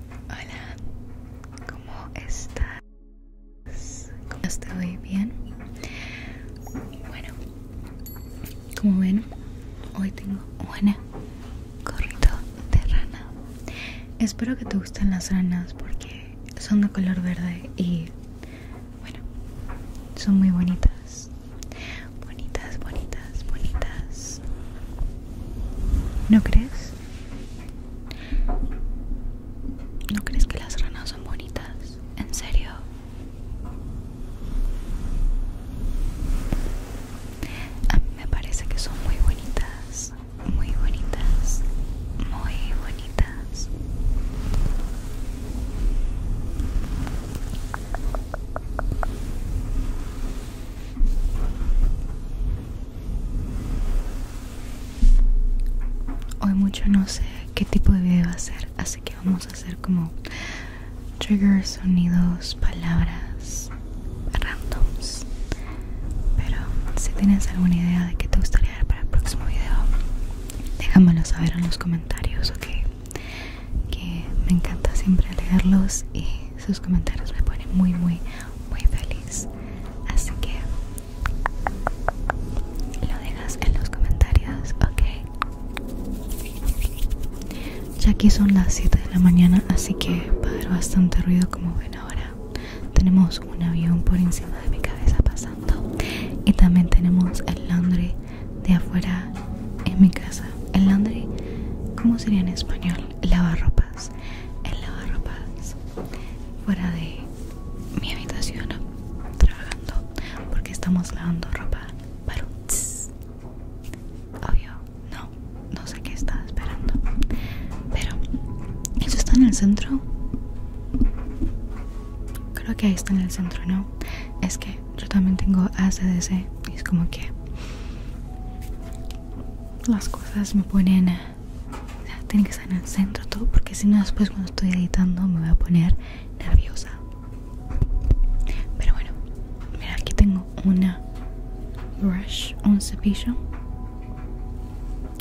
Hola, ¿cómo estás? ¿Cómo estoy? ¿Bien? Bueno, como ven, hoy tengo una gorrito de rana. Espero que te gusten las ranas porque son de color verde y, bueno, son muy bonitas. Bonitas, bonitas, bonitas. ¿No crees? ¿No crees que las ranas son bonitas? ¿En serio? A mí me parece que son muy bonitas, muy bonitas, muy bonitas. Hoy mucho no sé qué tipo de video va a ser, así que vamos a hacer como triggers, sonidos, palabras randoms. Pero si tienes alguna idea de qué te gustaría ver para el próximo video, déjamelo saber en los comentarios, ok? Que me encanta siempre leerlos y sus comentarios me ponen muy muy muy feliz así que lo dejas en los comentarios ok ya aquí son las 7 de la mañana así que va a haber bastante ruido como ven ahora tenemos un avión por encima de mi cabeza pasando y también tenemos el laundry de afuera en mi casa el laundry ¿Cómo sería en español? Lavarropas el ropa fuera de mi habitación trabajando porque estamos lavando ropa para obvio no no sé qué estaba esperando pero eso está en el centro creo que ahí está en el centro no es que yo también tengo ACDC y es como que las cosas me ponen eh, o tiene que estar en el centro todo porque si no después cuando estoy editando me voy a poner nerviosa pero bueno mira aquí tengo una brush un cepillo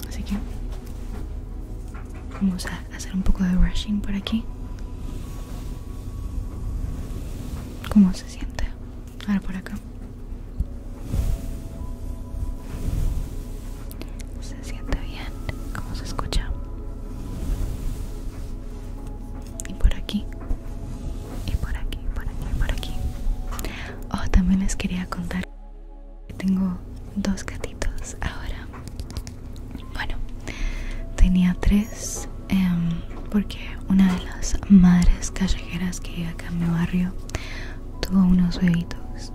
así que vamos a hacer un poco de brushing por aquí cómo se siente Ahora por acá. Se siente bien, ¿cómo se escucha? Y por aquí, y por aquí, por aquí, por aquí. Oh, también les quería contar que tengo dos gatitos ahora. Bueno, tenía tres. Em, porque una de las madres callejeras que acá en mi barrio tuvo unos huevitos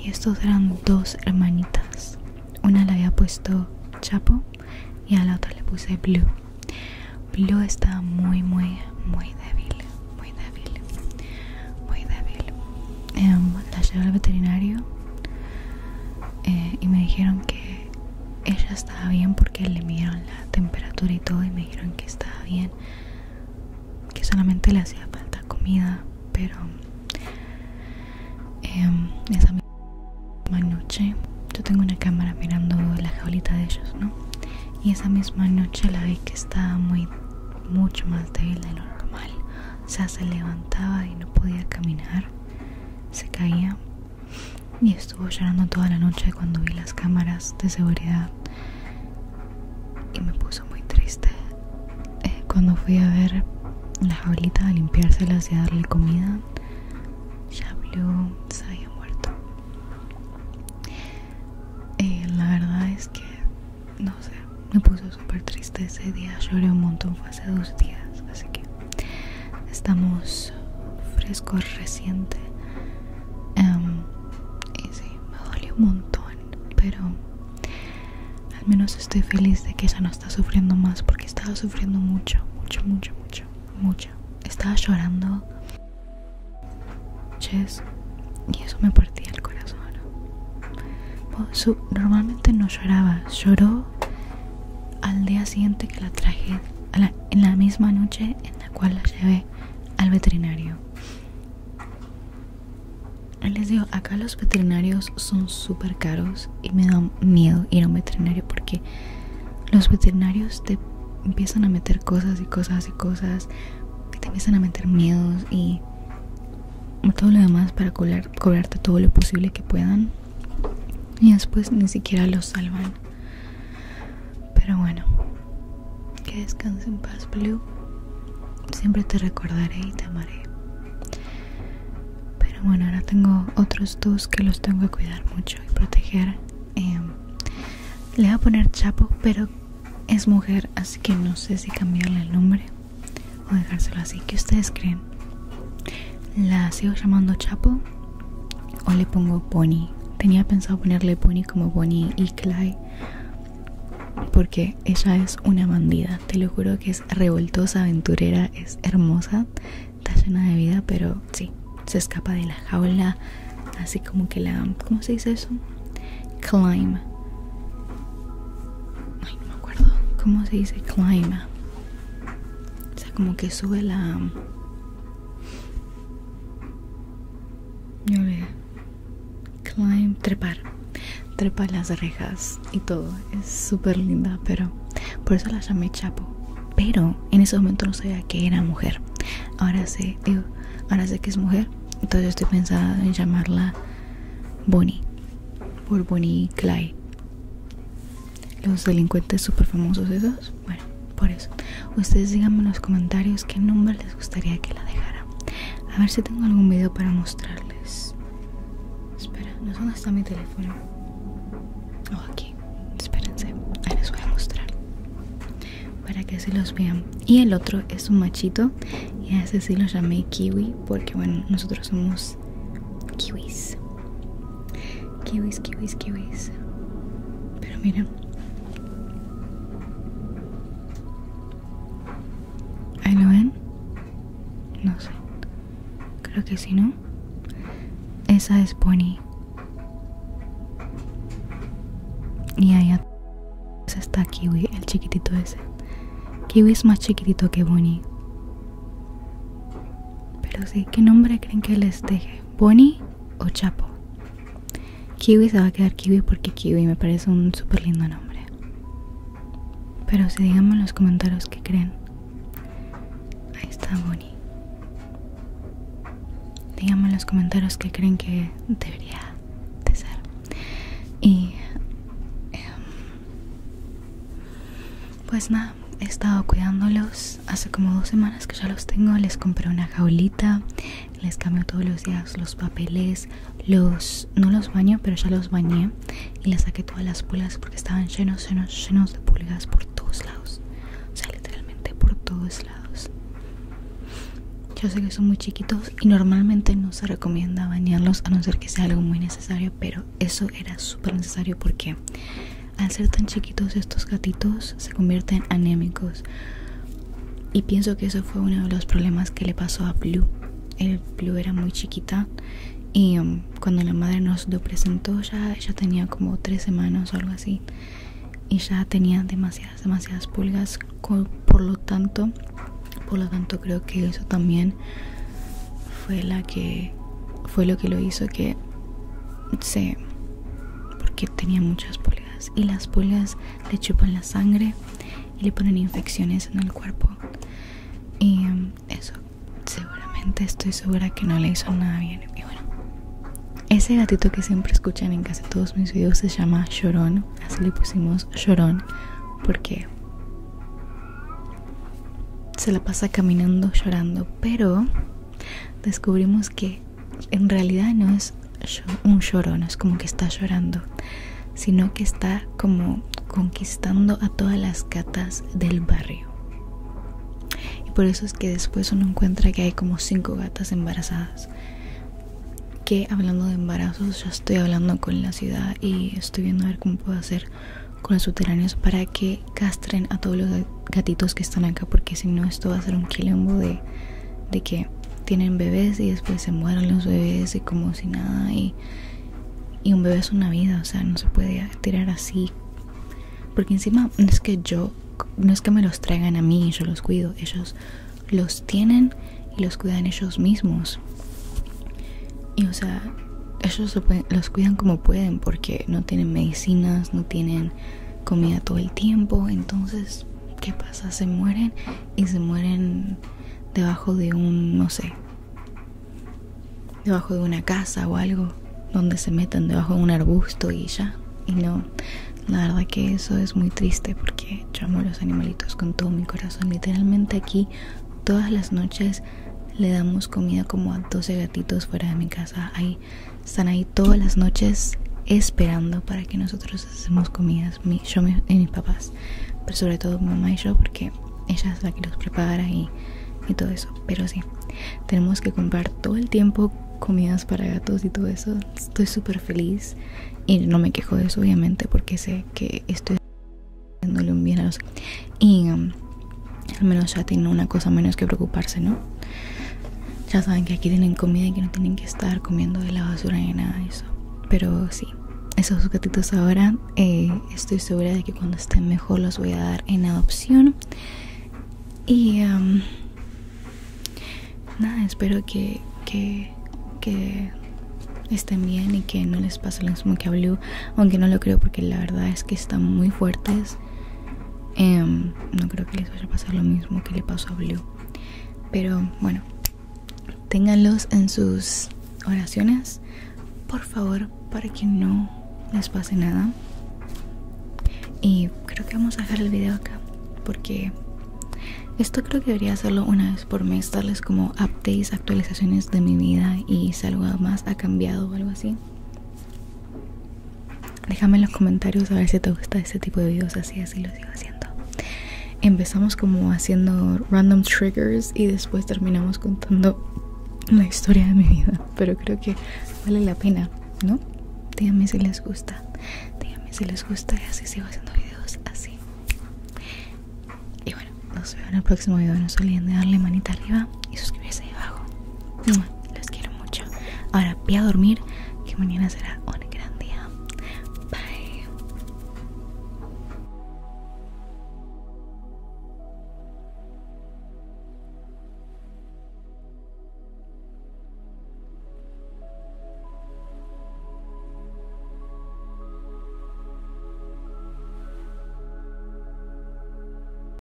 y estos eran dos hermanitas una le había puesto chapo y a la otra le puse blue blue estaba muy muy muy débil muy débil muy débil em, la llevo al veterinario eh, y me dijeron que ella estaba bien porque le miraron la temperatura y todo y me dijeron que estaba bien que solamente le hacía falta comida pero em, esa misma noche yo tengo una cámara mirando la jaulita de ellos y esa misma noche la vi que estaba muy mucho más débil de lo normal o sea se levantaba y no podía caminar se caía y estuvo llorando toda la noche cuando vi las cámaras de seguridad y me puso muy triste eh, cuando fui a ver la jaulita a limpiárselas y a darle comida ya vio, se había muerto eh, la verdad es que no sé me puso súper triste ese día lloré un montón fue hace dos días así que estamos frescos reciente Em, y me dolió un montón pero al menos estoy feliz de que ella no está sufriendo más porque estaba sufriendo mucho mucho mucho mucho mucho estaba llorando y eso me partía el corazón su, normalmente no lloraba lloró al día siguiente que la traje en la misma noche la cual la llevé al veterinario. Les digo, acá los veterinarios son super caros y me da miedo ir a un veterinario porque los veterinarios te empiezan a meter cosas y cosas y cosas y te empiezan a meter miedos y todo lo demás para cobrarte todo lo posible que puedan y después ni siquiera los salvan. Pero bueno, que descanse en paz, Blue. Siempre te recordaré y te amaré. Pero bueno, ahora tengo otros dos que los tengo que cuidar mucho y proteger. Em, le voy a poner Chapo, pero es mujer, así que no sé si cambiarle el nombre o dejárselo así. ¿Qué ustedes creen? ¿La sigo llamando Chapo o le pongo Pony. Tenía pensado ponerle Pony como Pony y Clyde porque ella es una bandida, te lo juro que es revoltosa, aventurera, es hermosa, está llena de vida, pero sí, se escapa de la jaula, así como que la... ¿Cómo se dice eso? Climb. no me acuerdo. ¿Cómo se dice climb? O sea, como que sube la... Yo le climb, trepar, trepa las rejas y todo. Es súper linda, pero por eso la llamé Chapo. Pero en ese momento no sabía que era mujer. Ahora sé, ahora sé que es mujer. Entonces estoy pensada en llamarla Bonnie. Por Bonnie Clyde los delincuentes super famosos esos bueno por eso ustedes díganme en los comentarios qué nombre les gustaría que la dejara a ver si tengo algún video para mostrarles espera no sé dónde está mi teléfono oh aquí espérense ahí les voy a mostrar para que se los vean y el otro es un machito y a ese sí lo llamé kiwi porque bueno nosotros somos kiwis Kiwis, kiwis, kiwis. Pero miren. lo ven? No sé. Creo que sí, ¿no? Esa es Bonnie. Y allá está Kiwi, el chiquitito ese. Kiwi es más chiquitito que Bonnie. Pero sí, ¿qué nombre creen que les deje? Bonnie o Chapo. Kiwi se va a quedar Kiwi porque Kiwi me parece un súper lindo nombre. Pero si digamos en los comentarios que creen. Ahí está Bonnie. Díganme en los comentarios que creen que debería de ser. Y... Em, pues nada he estado cuidándolos. Hace como dos semanas que ya los tengo. Les compré una jaulita. Les cambio todos los días los papeles. Los no los baño, pero ya los bañé. Y les saqué todas las pulgas porque estaban llenos, llenos, llenos de pulgas por todos lados. O sea, literalmente por todos lados. Yo sé que son muy chiquitos y normalmente no se recomienda bañarlos a no ser que sea algo muy necesario, pero eso era súper necesario porque al ser tan chiquitos estos gatitos se convierten anémicos. Y pienso que eso fue uno de los problemas que le pasó a Blue. El Blue era muy chiquita y um, cuando la madre nos lo presentó ya ella tenía como tres semanas o algo así. Y ya tenía demasiadas, demasiadas pulgas. por lo tanto, por lo tanto creo que eso también fue la que fue lo que lo hizo que se porque tenía muchas pulgas y las pulgas le chupan la sangre y le ponen infecciones en el cuerpo y em, eso seguramente estoy segura que no le hizo nada bien y bueno ese gatito que siempre escuchan en casi todos mis videos se llama Llorón así le pusimos Llorón porque se la pasa caminando llorando pero descubrimos que en realidad no es un llorón es como que está llorando, sino que está como conquistando a todas las gatas del barrio. Y por eso es que después uno encuentra que hay como cinco gatas embarazadas. Que hablando de embarazos, ya estoy hablando con la ciudad y estoy viendo a ver cómo puedo hacer con los subterráneos para que castren a todos los gatitos que están acá porque si no esto va a ser un quilombo de, que tienen bebés y después se mueran los bebés y como si nada y, y un bebé es una vida, o sea, no se puede tirar así. Porque encima no es que yo, no es que me los traigan a mí y yo los cuido, ellos los tienen y los cuidan ellos mismos. Y o sea, ellos los cuidan como pueden porque no tienen medicinas, no tienen comida todo el tiempo entonces qué pasa se mueren y se mueren debajo de un no sé debajo de una casa o algo donde se metan debajo de un arbusto y ya y no la verdad que eso es muy triste porque yo amo a los animalitos con todo mi corazón literalmente aquí todas las noches le damos comida como a 12 gatitos fuera de mi casa ahí están ahí todas las noches esperando para que nosotros hacemos comidas, yo y eh, mis papás, pero sobre todo mamá y yo, porque ella es la que los prepara y, todo eso. Pero sí, tenemos que comprar todo el tiempo comidas para gatos y todo eso. Estoy súper feliz y no me quejo de eso, obviamente, porque sé que estoy dándole un bien a los. Um, al menos ya tienen una cosa menos que preocuparse, ¿no? Ya saben que aquí tienen comida y que no tienen que estar comiendo de la basura ni nada de eso. Pero sí, esos gatitos ahora eh, estoy segura de que cuando estén mejor los voy a dar en adopción. Y nada, espero que, que estén bien y que no les pase lo mismo que a aunque no lo creo porque la verdad es que están muy fuertes Em, no creo que les vaya a pasar lo mismo que le pasó a Blue. Pero bueno, ténganlos en sus oraciones, por favor, para que no les pase nada. Y creo que vamos a dejar el video acá, porque esto creo que debería hacerlo una vez por mes, darles como updates, actualizaciones de mi vida y si algo más ha cambiado o algo así. Déjame en los comentarios a ver si te gusta este tipo de videos así, así lo sigo haciendo. Empezamos como haciendo random triggers y después terminamos contando la historia de mi vida. Pero creo que vale la pena, ¿no? Díganme si les gusta. Díganme si les gusta y así sigo haciendo videos así. Y bueno, nos vemos en el próximo video. No se olviden de darle manita arriba y suscribirse abajo mm, Los quiero mucho. Ahora voy a dormir que mañana será un gran día. Bye.